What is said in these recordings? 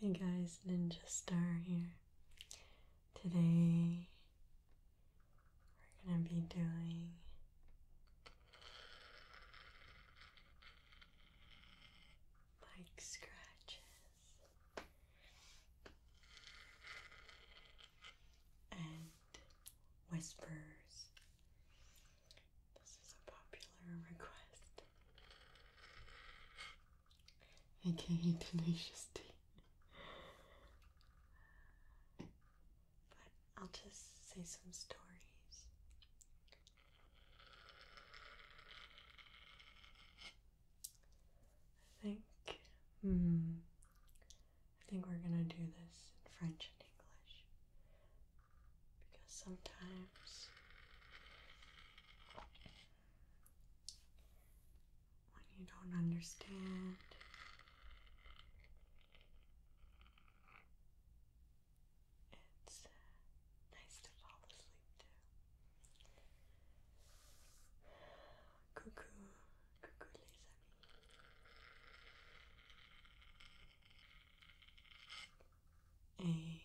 Hey guys, Ninja Star here. Today we're going to be doing mic scratches and whispers this is a popular request. AKA Tenacious D. But I'll just say some stories. I think, hmm, I think we're gonna do this in French and English because sometimes when you don't understand. It's uh, nice to fall asleep too. Coucou, coucou les amis. Et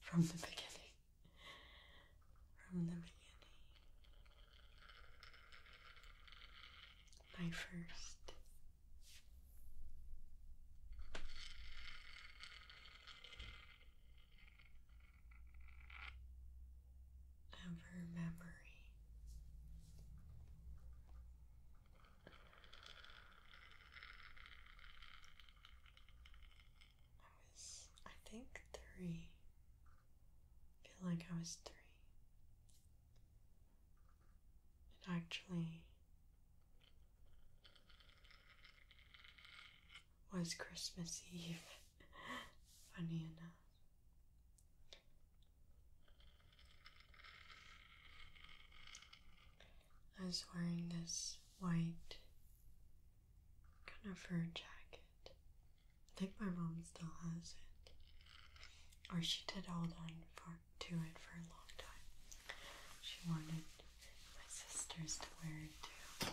from the beginning. From the beginning. My first ever memory. I was, I think, three. I feel like I was three. And actually was Christmas Eve, funny enough. I was wearing this white kind of fur jacket. I think my mom still has it. Or she did hold on to it for a long time. She wanted my sisters to wear it too.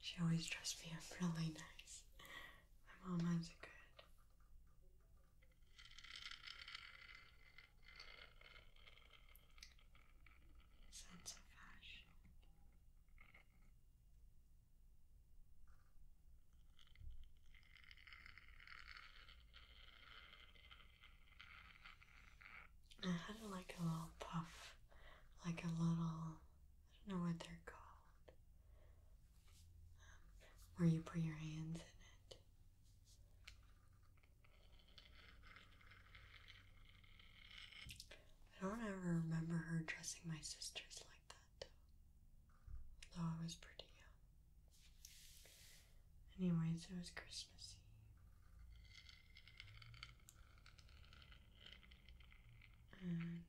She always dressed me up really nice. I'm almost good. Sense of fashion. I had like a little puff, like a little I don't know what they're called. Um, where you put your hands in it. I don't ever remember her dressing my sisters like that though. Though was pretty Anyways, it was Christmas Eve. And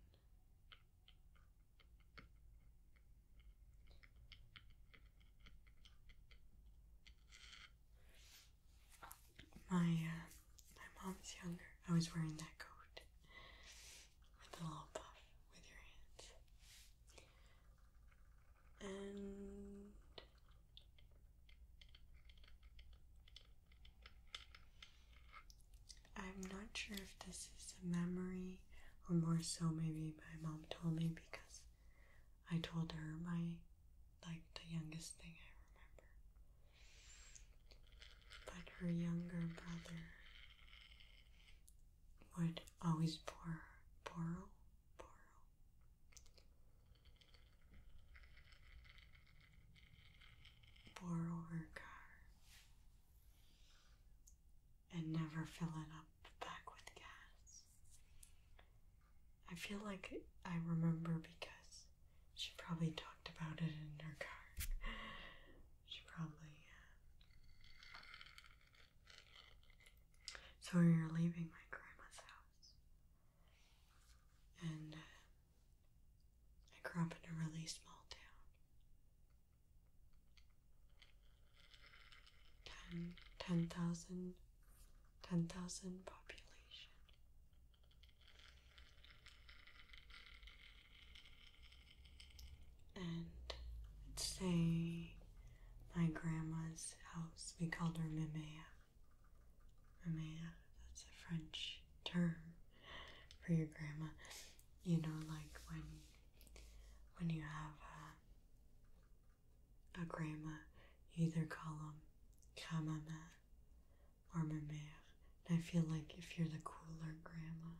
my uh, my mom's younger. I was wearing that coat with a little puff with your hands. And I'm not sure if this is a memory or more so maybe my mom told me because I told her my like the youngest thing I remember. But her younger brother would always borrow borrow. Borrow her car and never fill it up back with gas. I feel like I remember because she probably talked about it in her car. she probably. So we are leaving my grandma's house, and uh, I grew up in a really small town. 10, 10,000, 10,000 population. And let's say my grandma's house, we called her Mimea. Mimea, that's a French term for your grandma. You know, like when when you have a, uh, a grandma, you either call them Kamama or ma mère. And I feel like if you're the cooler grandma,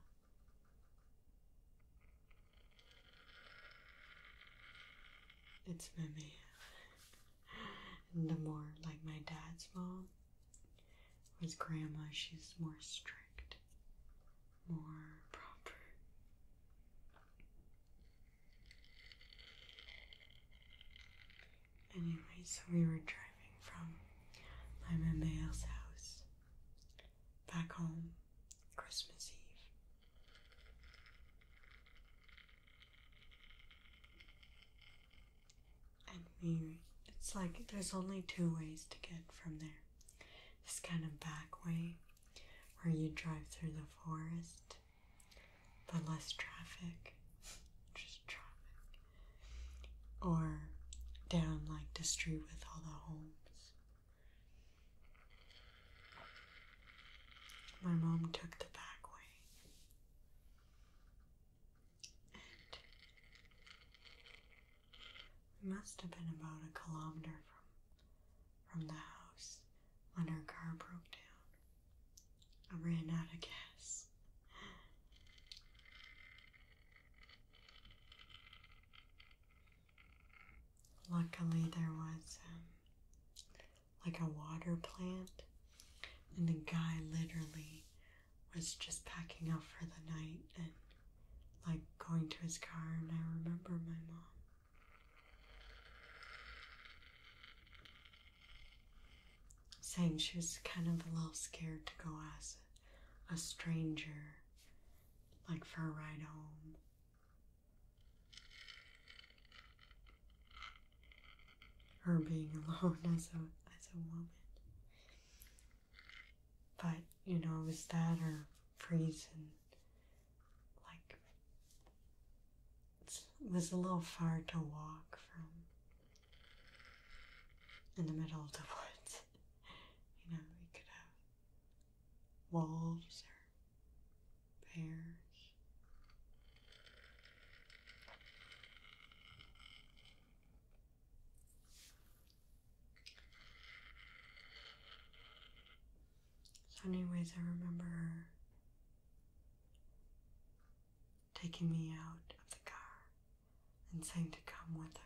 it's ma mère. and the more like my dad's mom, with grandma, she's more strict, more proper. Anyway, so we were driving from my Mamma's house back home Christmas Eve. And we, it's like there's only two ways to get from there this kind of back way where you drive through the forest, but less traffic, just traffic, or down like the street with all the homes. My mom took the back way. It must have been about a kilometer from from the house when our car broke down. I ran out of gas. Luckily, there was um, like a water plant, and the guy literally was just packing up for the night and like going to his car, and I remember my mom. Saying she was kind of a little scared to go as a stranger, like for a ride home. Her being alone as a as a woman. But, you know, was that or freezing? like it was a little far to walk from in the middle of the woods. you know, we could have wolves or bears. So, anyways, I remember taking me out of the car and saying to come with her.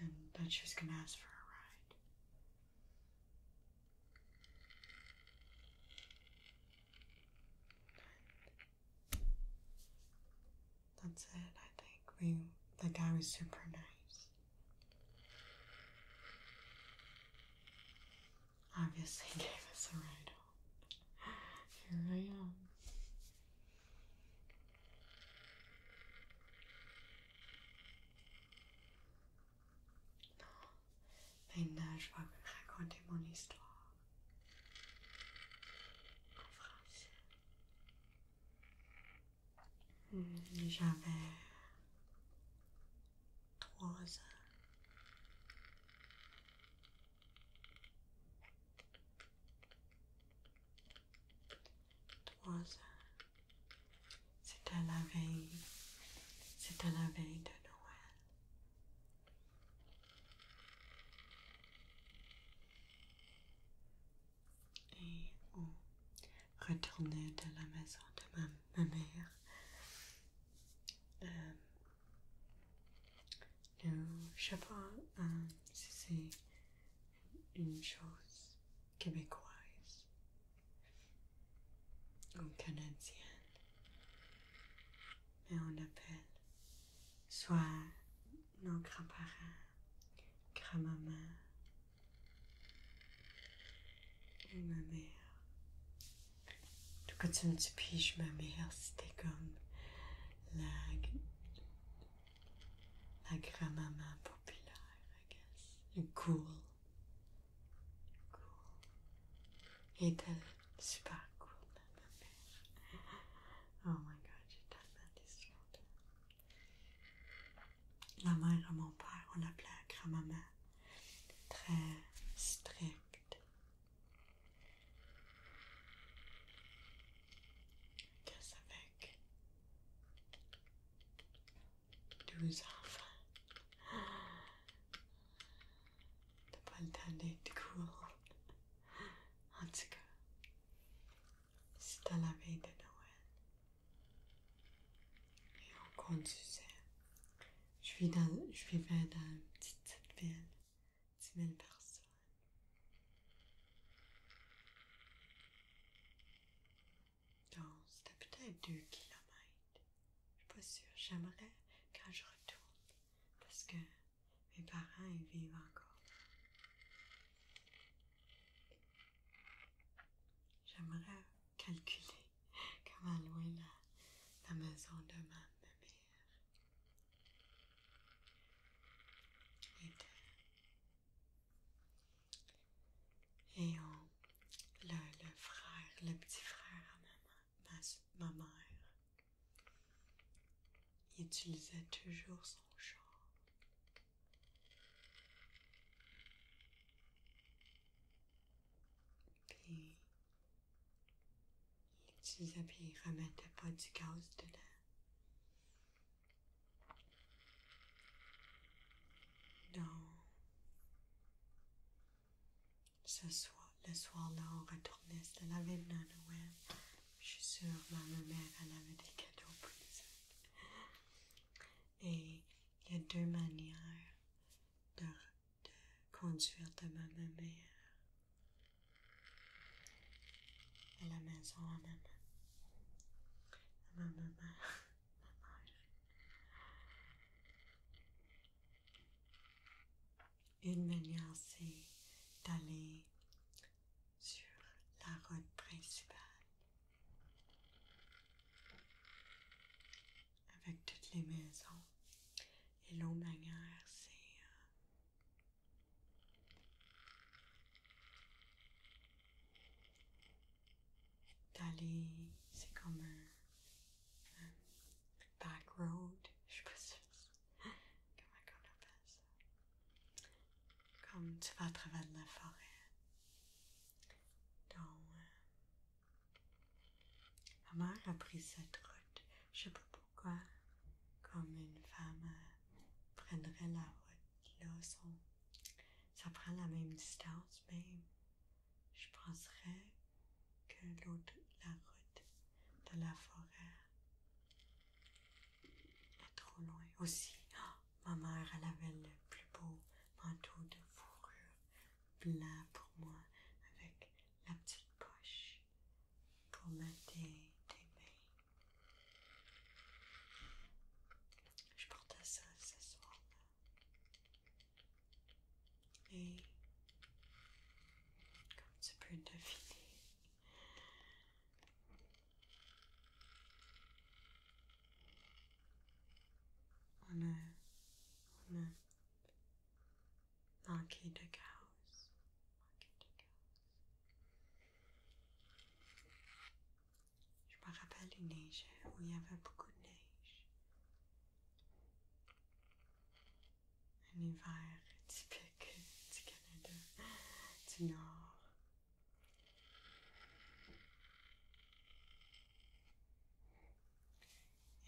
then that she was gonna ask for a ride. That's it, I think. We the guy was super nice. Obviously gave us a ride Here I am. Maintenant, je vais raconter mon histoire en français. Hmm, j'avais trois ans. Trois ans. C'était la veille. C'était la veille de Noël et on retournait de la maison de ma, mère. Je ne sais pas si c'est une chose québécoise ou canadienne, mais on appelle soit nos grand parents grand-maman, ma mère. Tout quand tu me dis pige ma mère, c'était comme la, la grand-maman populaire, I guess. Cool. Cool. Et était super cool, ma mère. Oh my god, j'ai tellement d'histoires. La mère et mon père, on l'appelait grand-maman. Très stricte. Qu'est-ce avec douze enfants? T'as pas le temps d'être cool. En tout cas, c'était la veille de Noël. Et on conduisait. Je, vis je vivais dans une petite, ville, 10 000 personnes. Donc, c'était peut-être 2 km. Je ne suis pas sûre. J'aimerais quand je retourne. Parce que mes parents ils vivent encore. J'aimerais calculer comment loin la, maison de ma mère était. Et le, le frère, le petit frère à ma mère, il utilisait toujours son chant. Puis, il l'utilisait, puis il remettait pas du gaz dedans. Donc, ce soir, le soir-là, on retournait, à la ville Noël. Je suis sûre, ma mère, elle avait des cadeaux pour les Et il y a deux manières de, conduire de ma mère à la maison à ma maman. À ma maman, ma mère. Une manière, c'est d'aller sur la route principale avec toutes les maisons. Et l'eau manière, c'est euh, d'aller, c'est comme un, back road, je suis pas comment on appelle ça Comme tu vas travers de la forêt. Donc, euh, ma mère a pris cette route. Je sais pas pourquoi, comme une femme euh, prendrait la route, là, ça prend la même distance, mais je penserais que l'autre, la route de la forêt pas trop loin aussi. Oh, ma mère, elle avait le plus beau manteau de fourrure blanc pour moi avec la petite poche pour mettre des, mains. Je portais ça ce soir-là. Et comme tu peux deviner, on a, on a Monkey de House. Monkey de House. Je me rappelle une où il y avait beaucoup de neige. Un hiver typique du Canada, du Nord.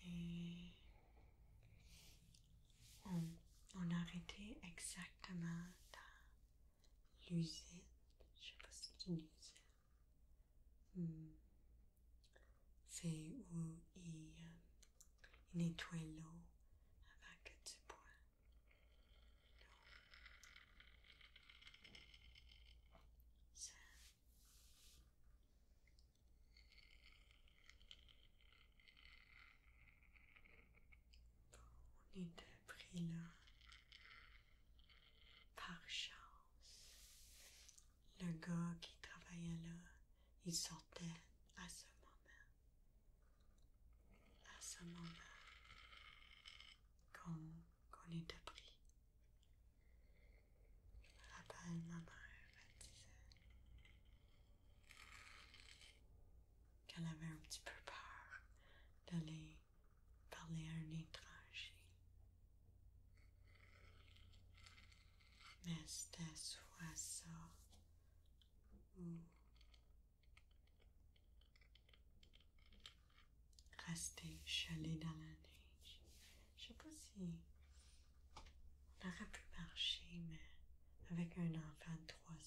Et on, arrêtait a arrêté exactement dans l'usine. Je sais pas si c'est une usine. Hmm. C'est où ils, euh, ils nettoient l'eau avant que tu bois on là. Par chance, le gars qui travaillait là, il sortait à ce moment à ce moment qu'on est appris. Je rappelle ma mère, elle disait qu'elle avait un petit peu peur d'aller parler à un étranger. Mais c'était soit ça ou Rester gelé dans la neige. Je sais pas si on aurait pu marcher, mais avec un enfant de 3 ans,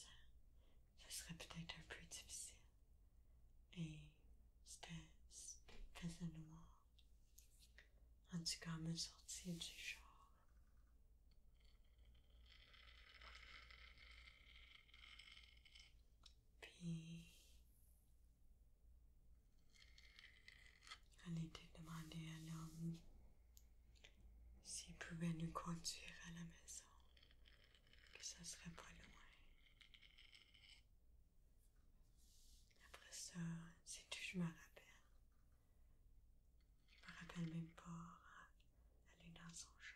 ce serait peut-être un peu difficile. Et c'était, faisait noir. En tout cas, me sortir du genre, puis, elle était demandée à l'homme s'il pouvait nous conduire à la maison, que ça serait pas loin. Après ça, c'est tout je me rappelle, je me rappelle même pas euh, aller dans son jour.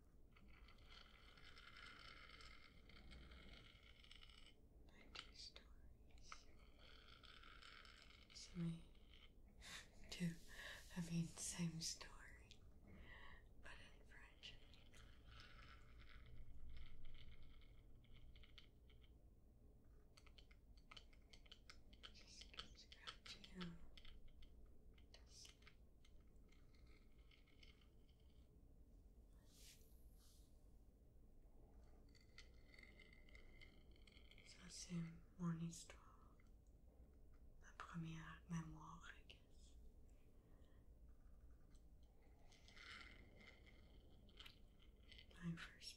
Ninety stories. So me too. I mean, same story, but in French. Just keep scratching. Just Ça, c'est mon histoire. Ma première mémoire, guess. My first